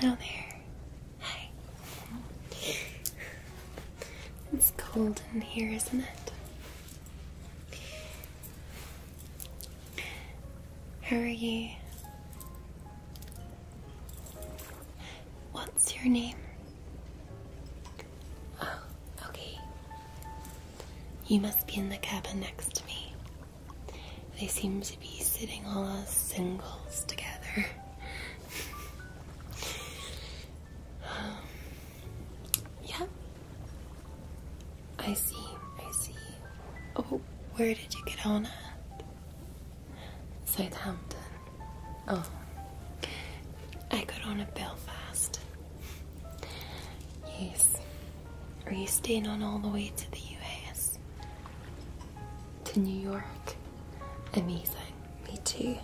Hello there. Hi. It's cold in here, isn't it? Who are you? What's your name? Oh, okay. You must be in the cabin next to me. They seem to be sitting all as singles together. Um, yeah. I see, I see. Oh, where did you get on at? Southampton. Oh, I got on at Belfast. Yes. Are you staying on all the way to the US? To New York? Amazing. Me too.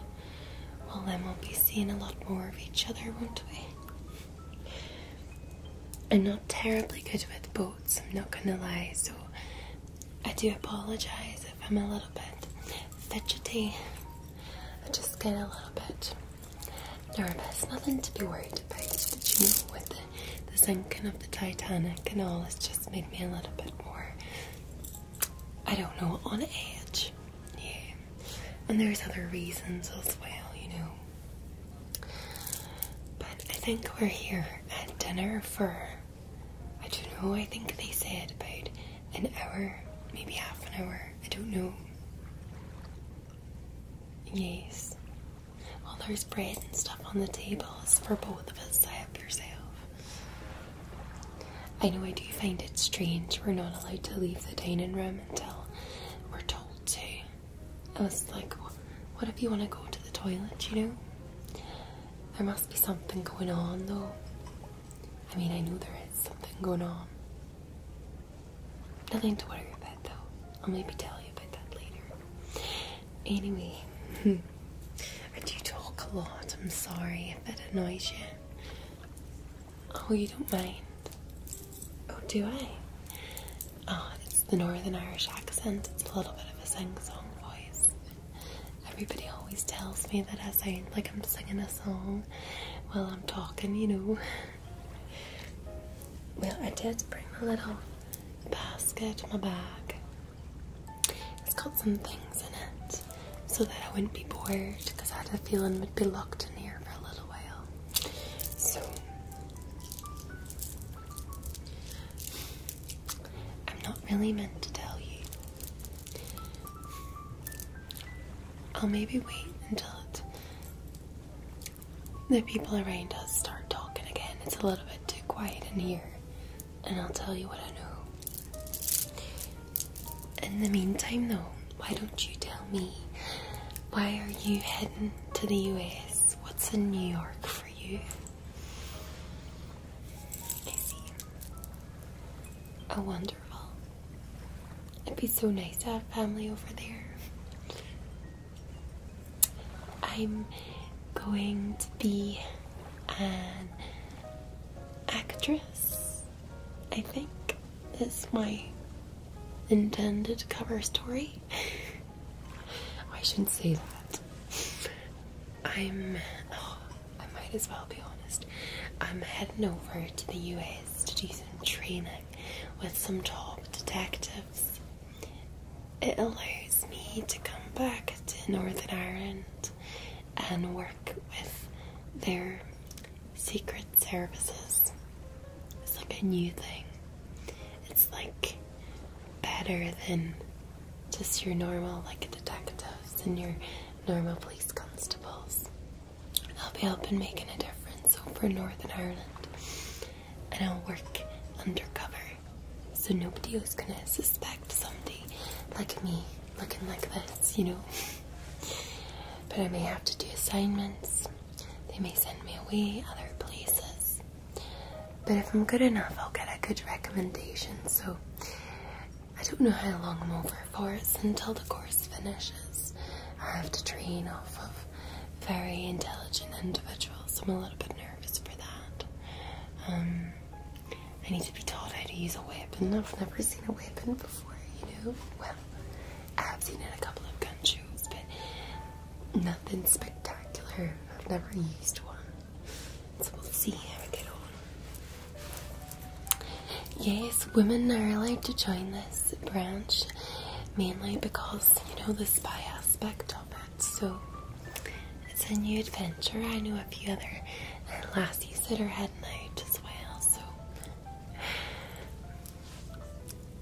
Well, then we'll be seeing a lot more of each other, won't we? I'm not terribly good with boats, I'm not gonna lie, so I do apologise if I'm a little bit fidgety. I just get a little bit nervous. Nothing to be worried about, but you know, with the, sinking of the Titanic and all, it's just made me a little bit more, I don't know, on edge. Yeah. And there's other reasons as well, you know. But I think we're here at dinner for, I don't know, I think they said about an hour, maybe half an hour, I don't know. Yes. all there's bread and stuff on the tables for both of us. I help yourself. I know I do find it strange we're not allowed to leave the dining room until we're told to. I was like, what if you want to go to the toilet, you know? There must be something going on though. I mean, I know there is something going on. Nothing to worry about though. I'll maybe tell you about that later. Anyway, I do talk a lot. I'm sorry if that annoys you. Oh, you don't mind? Oh, do I? Ah, it's the Northern Irish accent. It's a little bit of a sing-song voice. Everybody always tells me that I sing like I'm singing a song while I'm talking, you know. well, I did bring my little basket, to my bag. It's got some things in it so that I wouldn't be bored because I had a feeling we'd be locked in here for a little while. So I'm not really meant to tell you. I'll maybe wait until the people around us start talking again. It's a little bit too quiet in here, and I'll tell you what I know. In the meantime, though, why don't you tell me why are you heading to the US? What's in New York? you. Is wonderful. It'd be so nice to have family over there. I'm going to be an actress, I think. It's my intended cover story. I shouldn't say that. I'm. Oh, I might as well be honest. I'm heading over to the US to do some training with some top detectives. It allows me to come back to Northern Ireland and work with their secret services. It's like a new thing. It's like better than just your normal, like, detectives and your normal police constables. I'll be helping making a difference over Northern Ireland. And I'll work undercover. So nobody is gonna suspect something like me looking like this, you know. but I may have to do assignments. They may send me away other places. But if I'm good enough, I'll get a good recommendation. So I don't know how long I'm over for. It's until the course finishes. I have to train off of very intelligent individuals. I'm a little bit nervous for that. Um, I need to be taught how to use a weapon. I've never seen a weapon before, you know? Well, I have seen it a couple of gun shows, but nothing spectacular. I've never used one. Yes, women are allowed to join this branch mainly because you know the spy aspect of it. So it's a new adventure. I know a few other lassies that are heading out as well. So,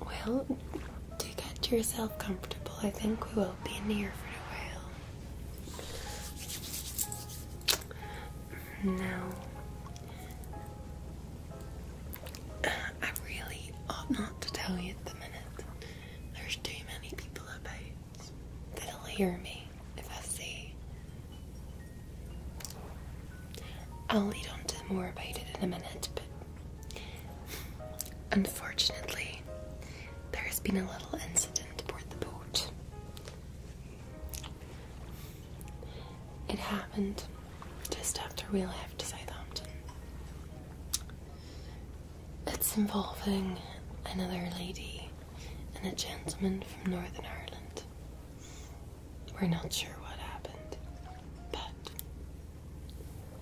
well, to get yourself comfortable, I think we will be in here for a while. Now, I really ought not to tell you at the minute. There's too many people about that'll hear me if I say. I'll lead on to more about it in a minute, but unfortunately, there has been a little incident aboard the boat. It happened just after we left Southampton. It's involving another lady and a gentleman from Northern Ireland. We're not sure what happened, but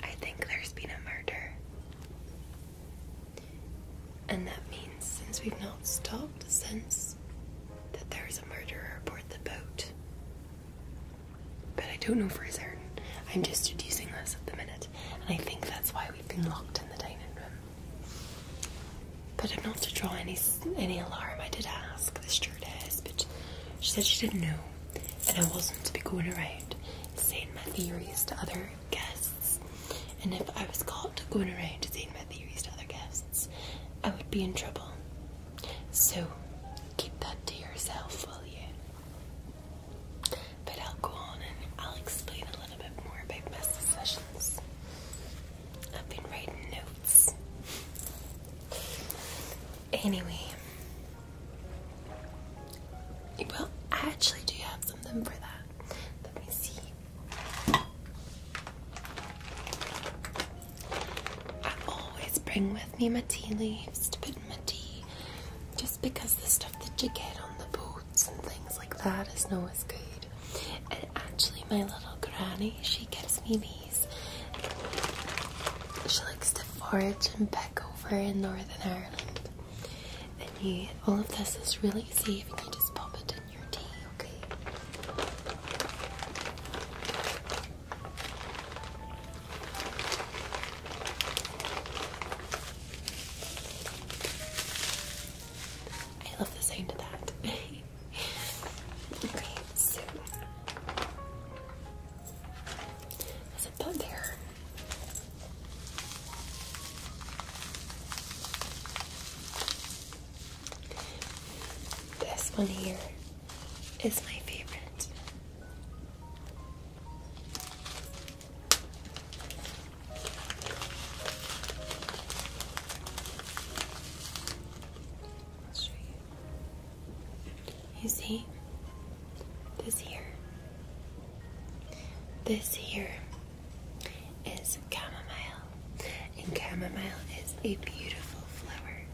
I think there's been a murder. And that means, since we've not stopped since, that there is a murderer aboard the boat. But I don't know for certain. I'm just deducing this at the minute, and I think that's why we've been locked in the dining room. But i not to draw any any alarm. I did ask the stewardess, but she said she didn't know, and I wasn't to be going around saying my theories to other guests. And if I was caught going around saying my theories to other guests, I would be in trouble. So keep that to yourself, will you? But I'll go on and I'll explain a little bit more about my sessions. I've been writing notes. Anyway, well, I actually do have something for that. Let me see. I always bring with me my tea leaves to put in my tea. Just because the stuff that you get on the boats and things like that is no good. And actually my little granny, she gives me these. She likes to forage and pick over in Northern Ireland. And you, all of this is really easy. and you just pop it in your tea, okay? I love the sound of that. okay, so. Is it that there? This one here is my favorite. I'll show you. You see? This here this here is chamomile, and chamomile is a beautiful flower.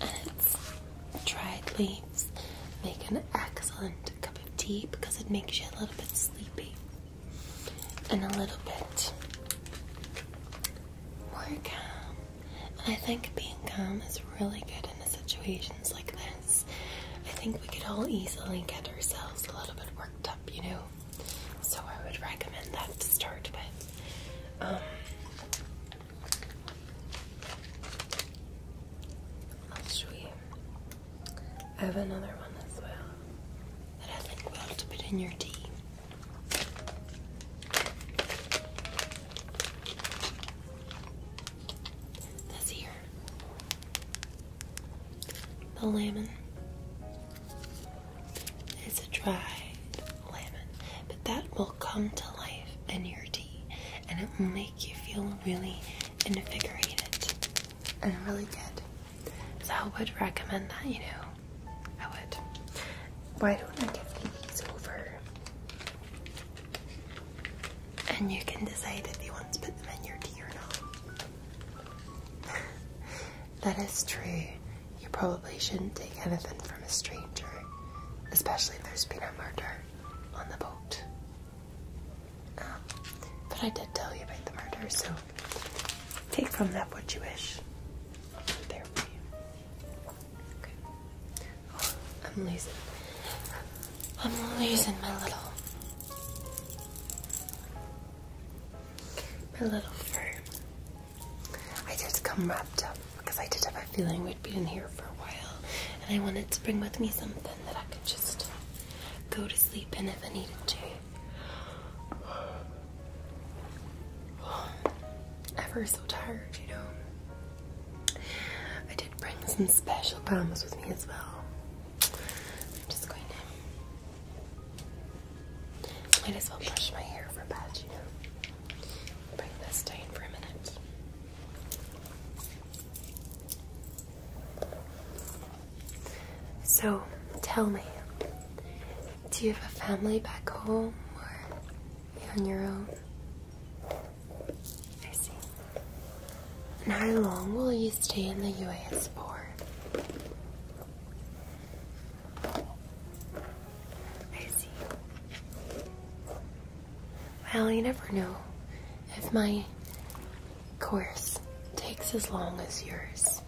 And its dried leaves make an excellent cup of tea because it makes you a little bit sleepy and a little bit calm. I think being calm is really good in a situation like this, I think we could all easily get ourselves a little bit worked up, you know? So I would recommend that to start with. Um, i show you. I have another one as well that I think will have to put in your tea. This here. The lemon. It's a dried lemon, but that will come to life in your tea and it will make you feel really invigorated and really good. So I would recommend that, you know. I would. Why don't I give you these over? and you can decide if you want to put them in your tea or not. that is true. You probably shouldn't take anything from a stranger, especially if there's been a murder on the boat. Um, but I did tell you about the murder, so take from that what you wish. There we go. Okay. I'm losing. I'm losing my little. My little fur. I did come wrapped up because I did have a feeling we'd be in here for a while, and I wanted to bring with me something that I could just go to sleep in if I needed to. Ever so tired, you know. I did bring some special bombs with me as well. I'm just going to might as well brush my hair for bad, you know. Bring this down for a minute. So tell me, do you have a family back home or on your own? how long will you stay in the US port? Well, you never know if my course takes as long as yours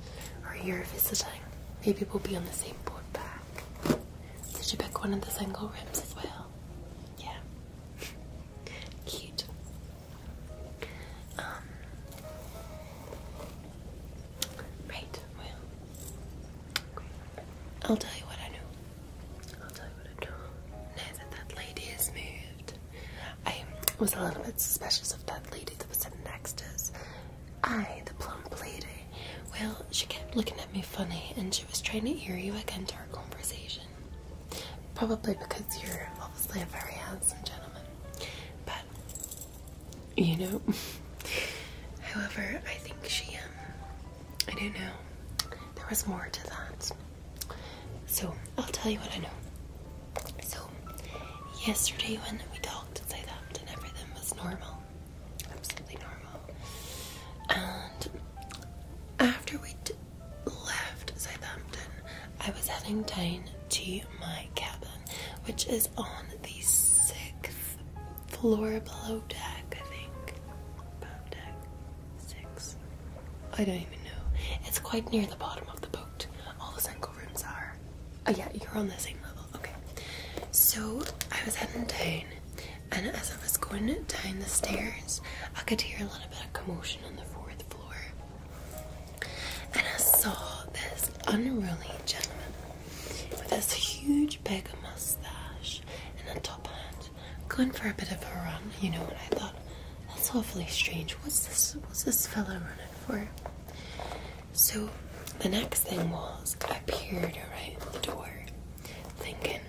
or you're visiting. Maybe we'll be on the same boat back. Did you pick one of the single rooms as well? Yeah. Cute. Um, right. Well. I'll tell you what I know. I'll tell you what I know. Now that that lady has moved, I was a little bit suspicious of that lady that was sitting next to us. I, the plump lady. Well, she kept looking at me funny, and she was trying to hear you again to our conversation. Probably because you're obviously a very handsome gentleman. But, you know. However, I think she, um, I don't know. There was more to that. So, I'll tell you what I know. So, yesterday when we talked and everything was normal. Absolutely normal. And after we'd left Southampton, I was heading down to my cabin, which is on the sixth floor below deck, I think. Below deck six. I don't even know. It's quite near the bottom of the boat. All the single rooms are. Oh yeah, you're on the same level. Okay. So I was heading down and as I was going down the stairs I could hear little bit of commotion on the fourth floor, and I saw this unruly gentleman with this huge big mustache and a top hat going for a bit of a run, you know. what I thought, that's awfully strange. What's this? What's this fellow running for? So the next thing was I peered at the door, thinking,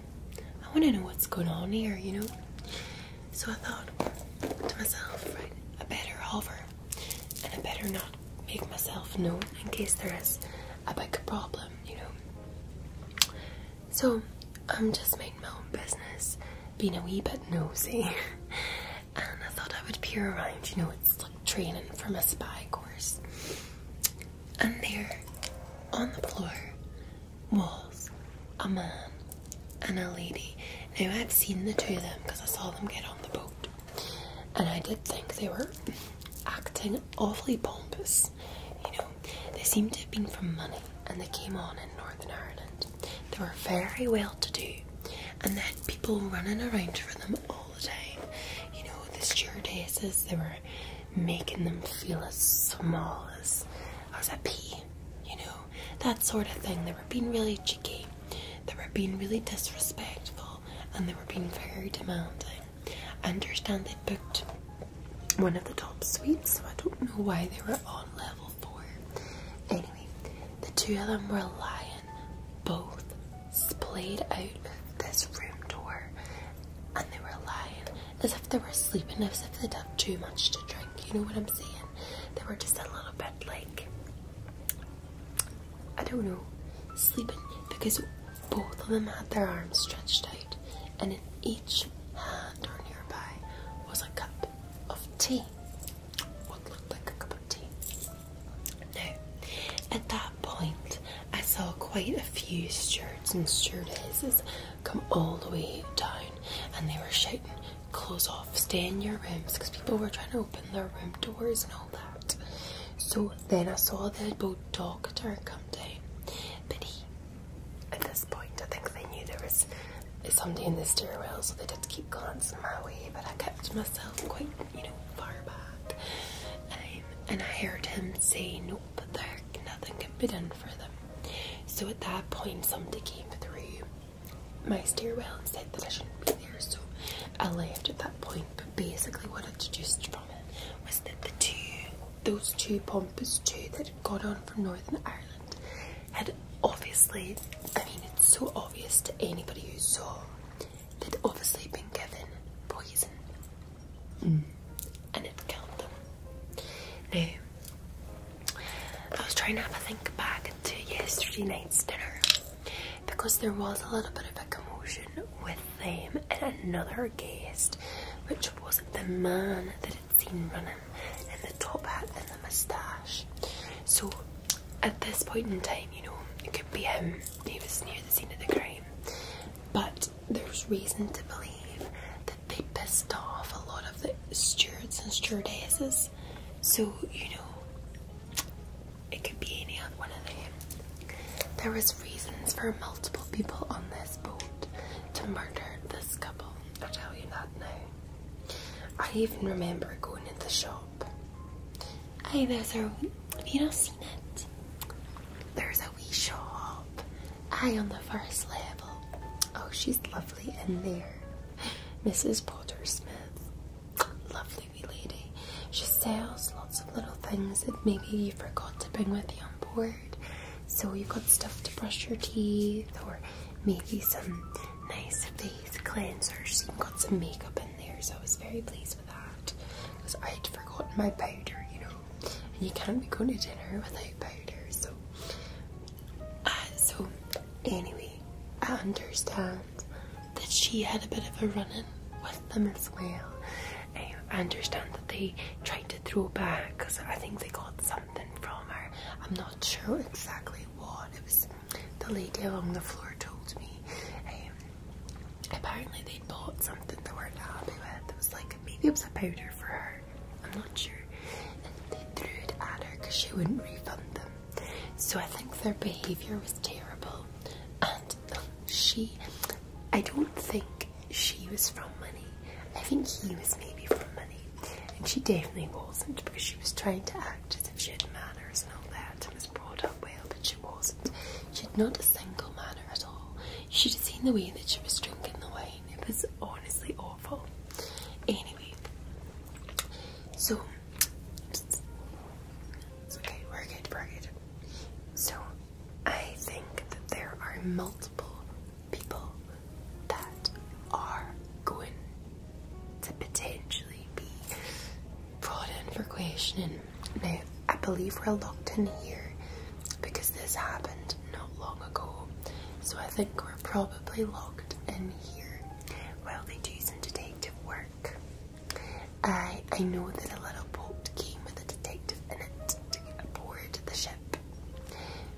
I want to know what's going on here, you know. So I thought to myself, I better hover and I better not make myself known in case there is a big problem, you know. So I'm just making my own business, being a wee bit nosy. and I thought I would peer around, you know, it's like training from a spy course. And there, on the floor, was a man and a lady. Now I'd seen the two of them because I saw them get on the boat, and I did think they were acting awfully pompous. You know, they seemed to have been from money, and they came on in Northern Ireland. They were very well to do, and they had people running around for them all the time. You know, the stewardesses, they were making them feel as small as as a pea you know, that sort of thing. They were being really cheeky, they were being really disrespectful, and they were being very demanding. I understand they booked one of the top suites, so I don't know why they were on level four. Anyway, the two of them were lying, both splayed out this room door, and they were lying as if they were sleeping, as if they'd had too much to drink, you know what I'm saying? They were just a little bit like, I don't know, sleeping because both of them had their arms stretched out and in each hand or nearby was a cup of tea. What looked like a cup of tea. Now, at that point, I saw quite a few shirts and stewardesses come all the way down and they were shouting, close off, stay in your rooms because people were trying to open their room doors and all that. So then I saw the boat doctor come down, but he, at this point, I think they knew there was something in the stairwell, so they did keep glancing my way, but I kept myself quite, you know, far back. Um, and I heard him say, nope, there, nothing can be done for them. So at that point, somebody came through my stairwell and said that I shouldn't be there, so I left at that point. But basically, what I deduced from it was that the two, those two pompous two that had got on from Northern Ireland, had obviously, I mean, it's so obvious to anybody who saw, they'd obviously been given poison mm. and it killed them. I was trying to have a think back to yesterday night's dinner because there was a little bit of a commotion with them and another guest, which wasn't the man that had seen running in the top hat and the moustache. So at this point in time, you know, it could be him, he was near the scene of the crime, but there's reason to believe they pissed off a lot of the stewards and stewardesses. So, you know, it could be any one of them. There was reasons for multiple people on this boat to murder this couple. i tell you that now. I even remember going in the shop. Hey, there's a... Have you not seen it? There's a wee shop I on the first level. Oh, she's lovely in there. Mrs. Porter Smith. Lovely lady. She sells lots of little things that maybe you forgot to bring with you on board. So you've got stuff to brush your teeth or maybe some nice face cleansers. You've got some makeup in there, so I was very pleased with that. Because I'd forgotten my powder, you know. And you can't be going to dinner without powder, so so, anyway, I understand that she had a bit of a run in with them as well. Um, I understand that they tried to throw back because I think they got something from her. I'm not sure exactly what. It was the lady on the floor told me. Um, apparently, they bought something they weren't happy with. It was like maybe it was a powder for her I'm not sure. And they threw it at her because she wouldn't refund them. So I think their behaviour was terrible. And uh, she, I don't think she was from money. I think he was maybe from money. And she definitely wasn't because she was trying to act as if she had manners and all that and was brought up well, but she wasn't. She had not a single manner at all. She'd seen the way that she was drinking the wine it was honestly awful. Anyway, so okay, we're good, we're good. So I think that there are multiple people that are going to potentially be brought in for questioning. I believe we're locked in here because this happened not long ago. So I think probably locked in here while they do some detective work. I I know that a little boat came with a detective in it to get aboard the ship.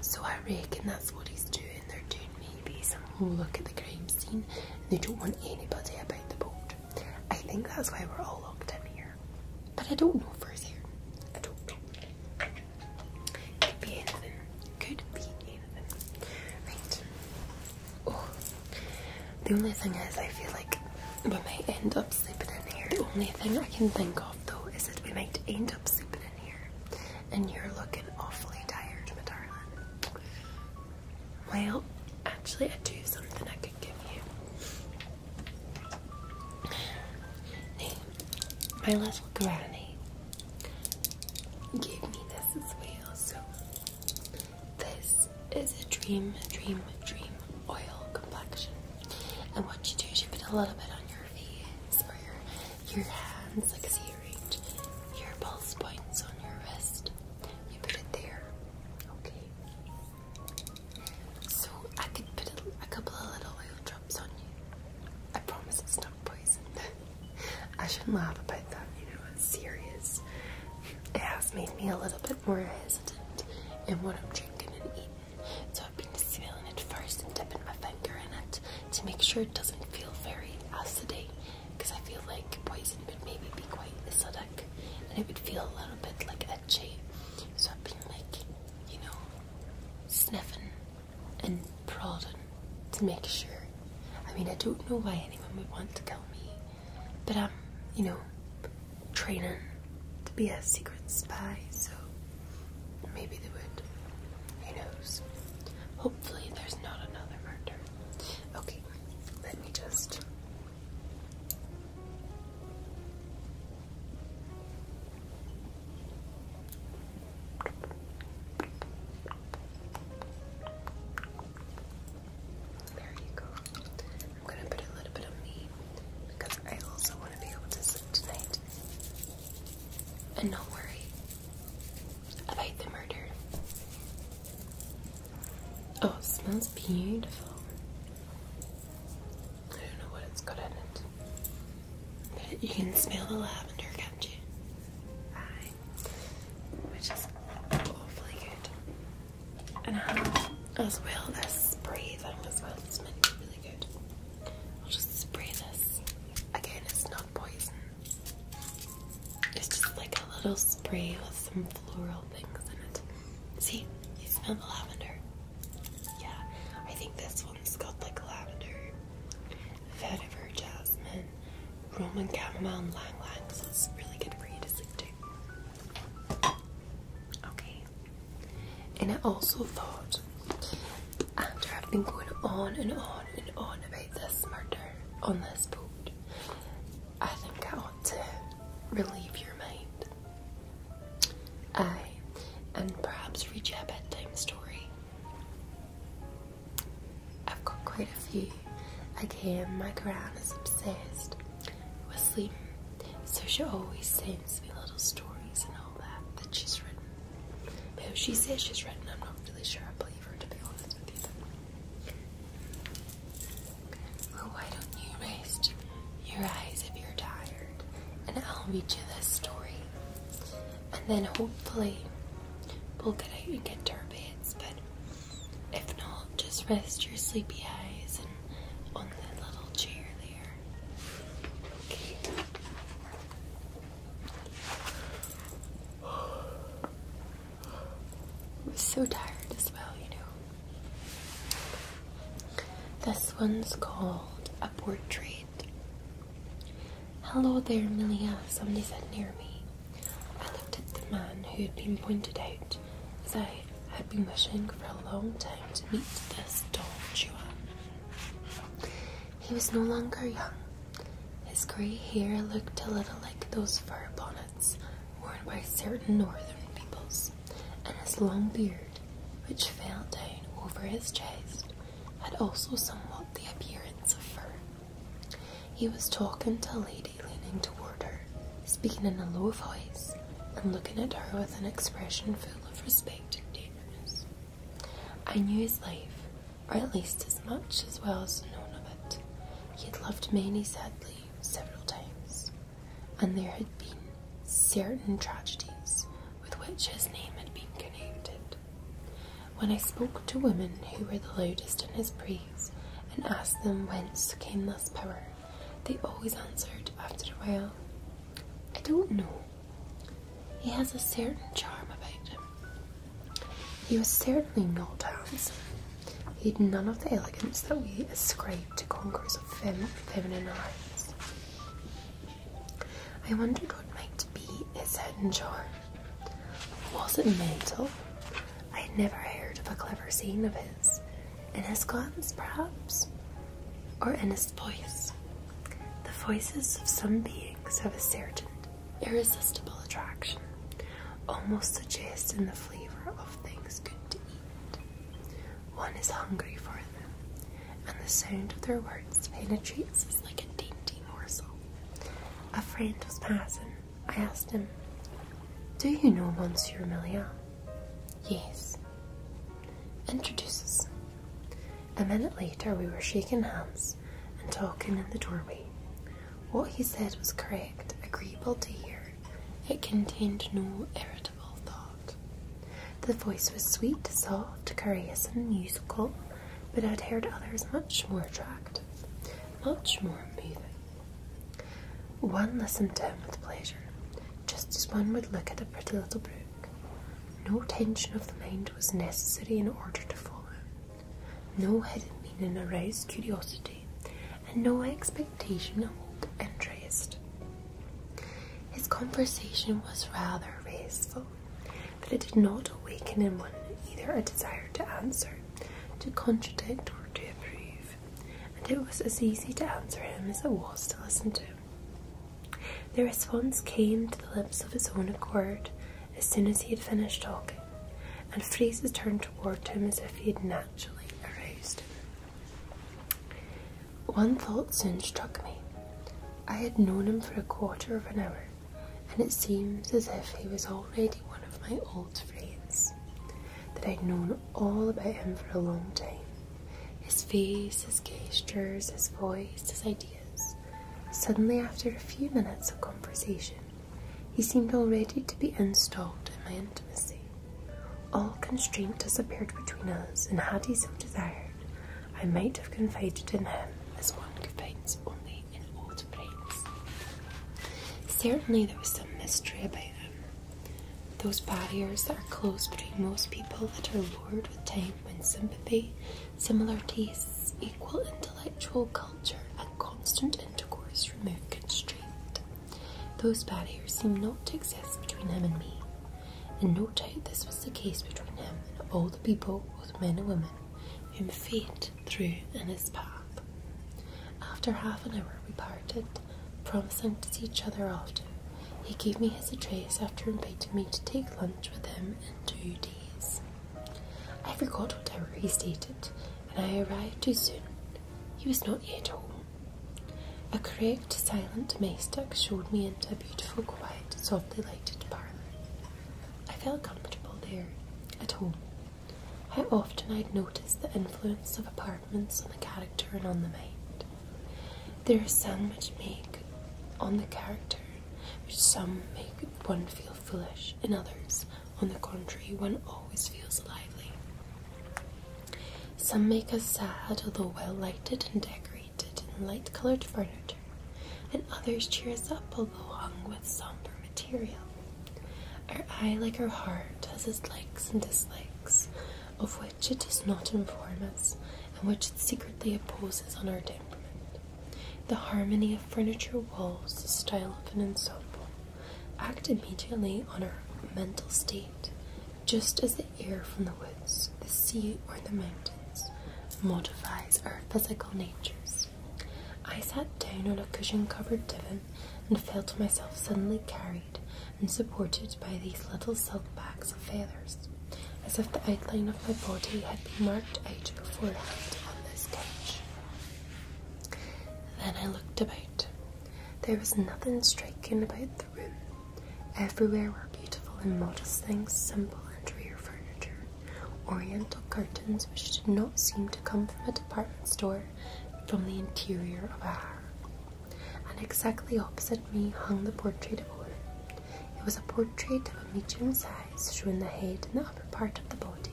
So I reckon that's what he's doing. They're doing maybe some look at the crime scene they don't want anybody about the boat. I think that's why we're all locked in here. But I don't know if for certain. I don't know. Could be anything. Could be anything. Right. Oh. The only thing is, I feel like we might end up sleeping in here. The only thing I can think of though is that we might end up sleeping in here. And you're looking awfully tired, my darling. Well, actually, I do have something I could give you. Now, my little granny gave me this as well. So this is a dream, dream, dream oil complexion. And what you do is you put a little bit on your face or your your hands, like see range, your pulse points on your wrist. You put it there. Okay. So I could put a couple of little oil drops on you. I promise it's not poison. I shouldn't laugh about that, you know, it's serious. It has made me a little bit more hesitant in what I'm drinking and eating, so I've been smelling it first and dipping my finger in it to make sure it doesn't feel very acidy, because I feel like poison would maybe be quite acidic and it would feel a little bit like itchy. So I've been like, you know, sniffing and prodding to make sure. I mean, I don't know why anyone would want to kill me, but I'm, you know, training to be a secret spy, so maybe they would. Who knows? Hopefully, there's not another murder. Okay, let me just. There you go. I'm gonna put a little bit of me because I also want to be able to sleep tonight and not worry about the murder. Oh, it smells beautiful. I don't know what it's got in it. You can smell the lavender, can't you? Which is awfully good. And I uh, as well this spray as well. It's meant really good. I'll just spray this. Again, it's not poison. It's just like a little spray with some floral things in it. See? You smell the lavender. Yeah, I think this one's got like lavender vetiver jasmine, Roman chamomile, and lang lang. So really good for you to sleep to. Okay. And I also thought, after I've been going on and on and on about this murder on this boat, I think I ought to relieve your mind. I and perhaps read you a bedtime story. I've got quite a few. Again, my gran is obsessed with sleep, so she always sends me little stories and all that that she's written. Now, she says she's written, I'm not really sure I believe her to be honest with you. Well, why don't you rest your eyes if you're tired, and I'll read you this story and then hopefully we'll get out and get to But if not, just rest your sleepy eyes on that little chair there. Okay. I'm so tired as well, you know. This one's called A Portrait Hello there, Milia, somebody said near me. I looked at the man who had been pointed out, as I had been wishing for a long time to meet this Don Juan. He was no longer young. His grey hair looked a little like those fur bonnets worn by certain northern peoples, and his long beard, which fell down over his chest, had also somewhat the appearance of fur. He was talking to a lady leaning toward her, speaking in a low voice, and looking at her with an expression full of respect and tenderness. I knew his life, or at least as much as well as known of it. He had loved many sadly several times, and there had been certain tragedies with which his name had been connected. When I spoke to women who were the loudest in his praise and asked them whence came this power, they always answered after a while, I don't know. He has a certain charm about him. He was certainly not handsome. He had none of the elegance that we ascribe to conquerors of feminine eyes. I wondered what might be his hidden charm. Was it mental? I had never heard of a clever saying of his, in his glance perhaps, or in his voice. The voices of some beings have a certain irresistible attraction, almost suggesting the flavour of things good to eat. One is hungry for them, and the sound of their words penetrates us like a dainty morsel. A friend was passing. I asked him, Do you know Monsieur Millian? Yes. Introduces. A minute later, we were shaking hands and talking in the doorway. What he said was correct, agreeable to hear. It contained no irritable thought. The voice was sweet, soft, courageous, and musical, but i had heard others much more attractive much more moving. One listened to him with pleasure, just as one would look at a pretty little brook. No tension of the mind was necessary in order to follow. No hidden meaning aroused curiosity, and no expectation of interest. His conversation was rather wasteful but it did not awaken in one either a desire to answer, to contradict, or to approve, and it was as easy to answer him as it was to listen to The response came to the lips of his own accord as soon as he had finished talking, and phrases turned toward him as if he had naturally aroused him. One thought soon struck me. I had known him for a quarter of an hour, and it seems as if he was already one of my old friends, that I'd known all about him for a long time. His face, his gestures, his voice, his ideas. Suddenly, after a few minutes of conversation, he seemed already to be installed in my intimacy. All constraint disappeared between us, and had he so desired, I might have confided in him as one confides only Certainly, there was some mystery about them. Those barriers that are closed between most people that are lured with time when sympathy, similar tastes, equal intellectual culture, and constant intercourse remove constraint. Those barriers seem not to exist between him and me. and no doubt, this was the case between him and all the people, both men and women, whom fate through in his path. After half an hour, we parted, promising to see each other often. He gave me his address after inviting me to take lunch with him in two days. I forgot what hour he stated, and I arrived too soon. He was not yet home. A correct, silent domestic showed me into a beautiful, quiet, softly lighted parlour. I felt comfortable there, at home. How often i had noticed the influence of apartments on the character and on the mind. There are some which make on the character, which some make one feel foolish, and others, on the contrary, one always feels lively. Some make us sad, although well lighted and decorated and light coloured furniture, and others cheer us up, although hung with sombre material. Our eye, like our heart, has its likes and dislikes, of which it does not inform us, and which it secretly opposes on our temperament. The harmony of furniture, walls, the style of an ensemble, act immediately on our mental state, just as the air from the woods, the sea, or the mountains modifies our physical natures. I sat down on a cushion covered divan and felt myself suddenly carried and supported by these little silk bags of feathers, as if the outline of my body had been marked out beforehand on the couch. Then I looked about. There was nothing striking about the room. Everywhere were beautiful and modest things, simple and rare furniture, oriental curtains which did not seem to come from a department store from the interior of a house. And exactly opposite me hung the portrait of Or. It was a portrait of a medium size, showing the head and the upper part of the body,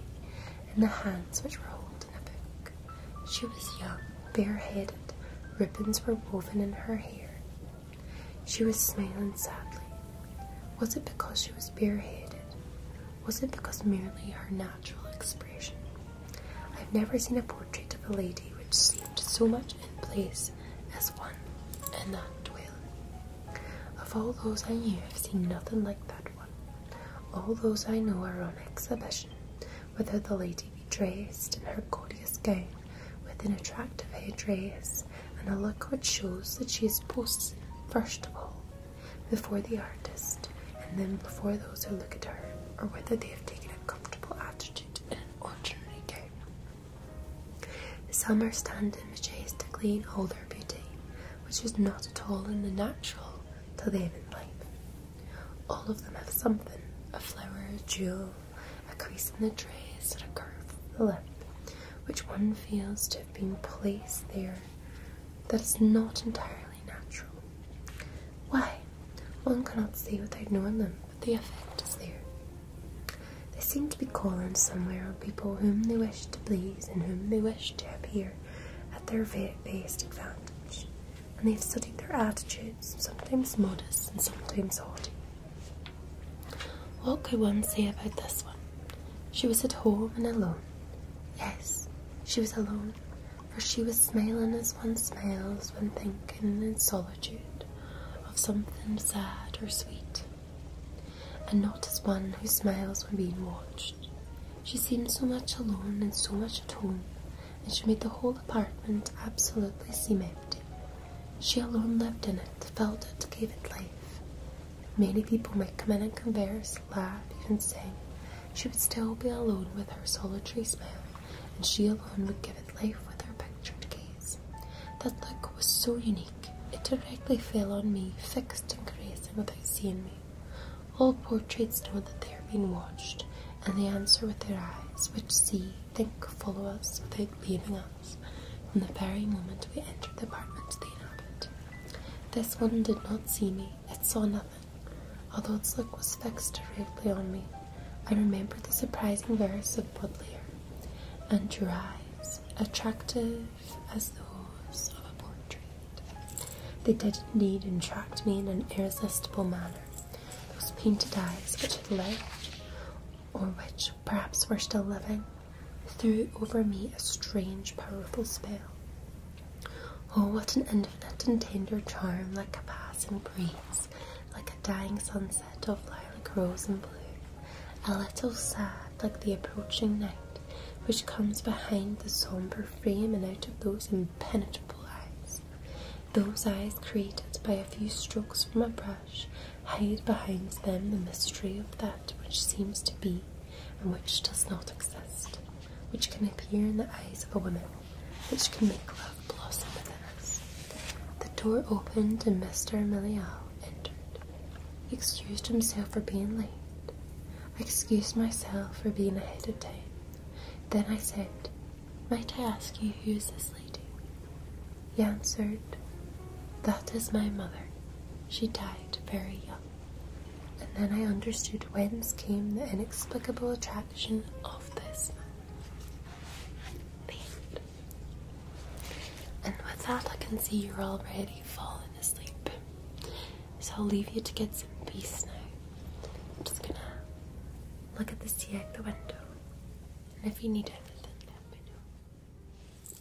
and the hands which were holding a book. She was young, bareheaded, ribbons were woven in her hair. She was smiling sadly. Was it because she was bareheaded? wasn't because merely her natural expression. I've never seen a portrait of a lady which seemed so much in place as one in that dwelling. Of all those I knew, I've seen nothing like that one. All those I know are on exhibition, whether the lady be dressed in her gaudiest gown with an attractive dress, and a look which shows that she is posing, first of all, before the artist, and then before those who look at her, or whether they have taken a comfortable attitude in an ordinary gown. Some are standing majestically in all their beauty, which is not at all in the natural till they have in life. All of them have something, a flower, a jewel, a crease in the dress, or a curve of the lip, which one feels to have been placed there that is not entirely natural. Why? One cannot see without knowing them, but the effect is there. They seem to be calling somewhere on people whom they wish to please and whom they wish to appear at their best advantage, and they have studied their attitudes, sometimes modest and sometimes haughty. What could one say about this one? She was at home and alone, Yes, she was alone, for she was smiling as one smiles when thinking in solitude of something sad or sweet, and not as one who smiles when being watched. She seemed so much alone and so much at home, and she made the whole apartment absolutely seem empty. She alone lived in it, felt it, gave it life. Many people might come in and converse, laugh, even sing. She would still be alone with her solitary smile, and she alone would give it life with her pictured gaze. That look was so unique, it directly fell on me, fixed and grazing without seeing me. All portraits know that they are being watched, and they answer with their eyes, which see, think, follow us without leaving us from the very moment we entered the apartment they inhabit. This one did not see me, yet saw nothing. Although its look was fixed directly on me, I remembered the surprising verse of Baudelaire, and drew eyes, attractive as those of a portrait. They did indeed entract me in an irresistible manner. Those painted eyes which had lived, or which perhaps were still living, threw over me a strange, powerful spell. Oh, what an infinite and tender charm, like a passing breeze, like a dying sunset of lilac, rose, and blue. A little sad, like the approaching night, which comes behind the sombre frame and out of those impenetrable eyes. Those eyes, created by a few strokes from a brush, hide behind them the mystery of that which seems to be and which does not exist, which can appear in the eyes of a woman, which can make love blossom within us. The door opened, and Mr. Miliau entered. He excused himself for being late. excused myself for being ahead of time. Then I said, Might I ask you who is this lady? He answered, That is my mother. She died very young. And then I understood whence came the inexplicable attraction of this man. and with that, I can see you're already falling asleep. So I'll leave you to get some peace now. I'm just gonna look at the sea at the window. And if you need anything, let me know.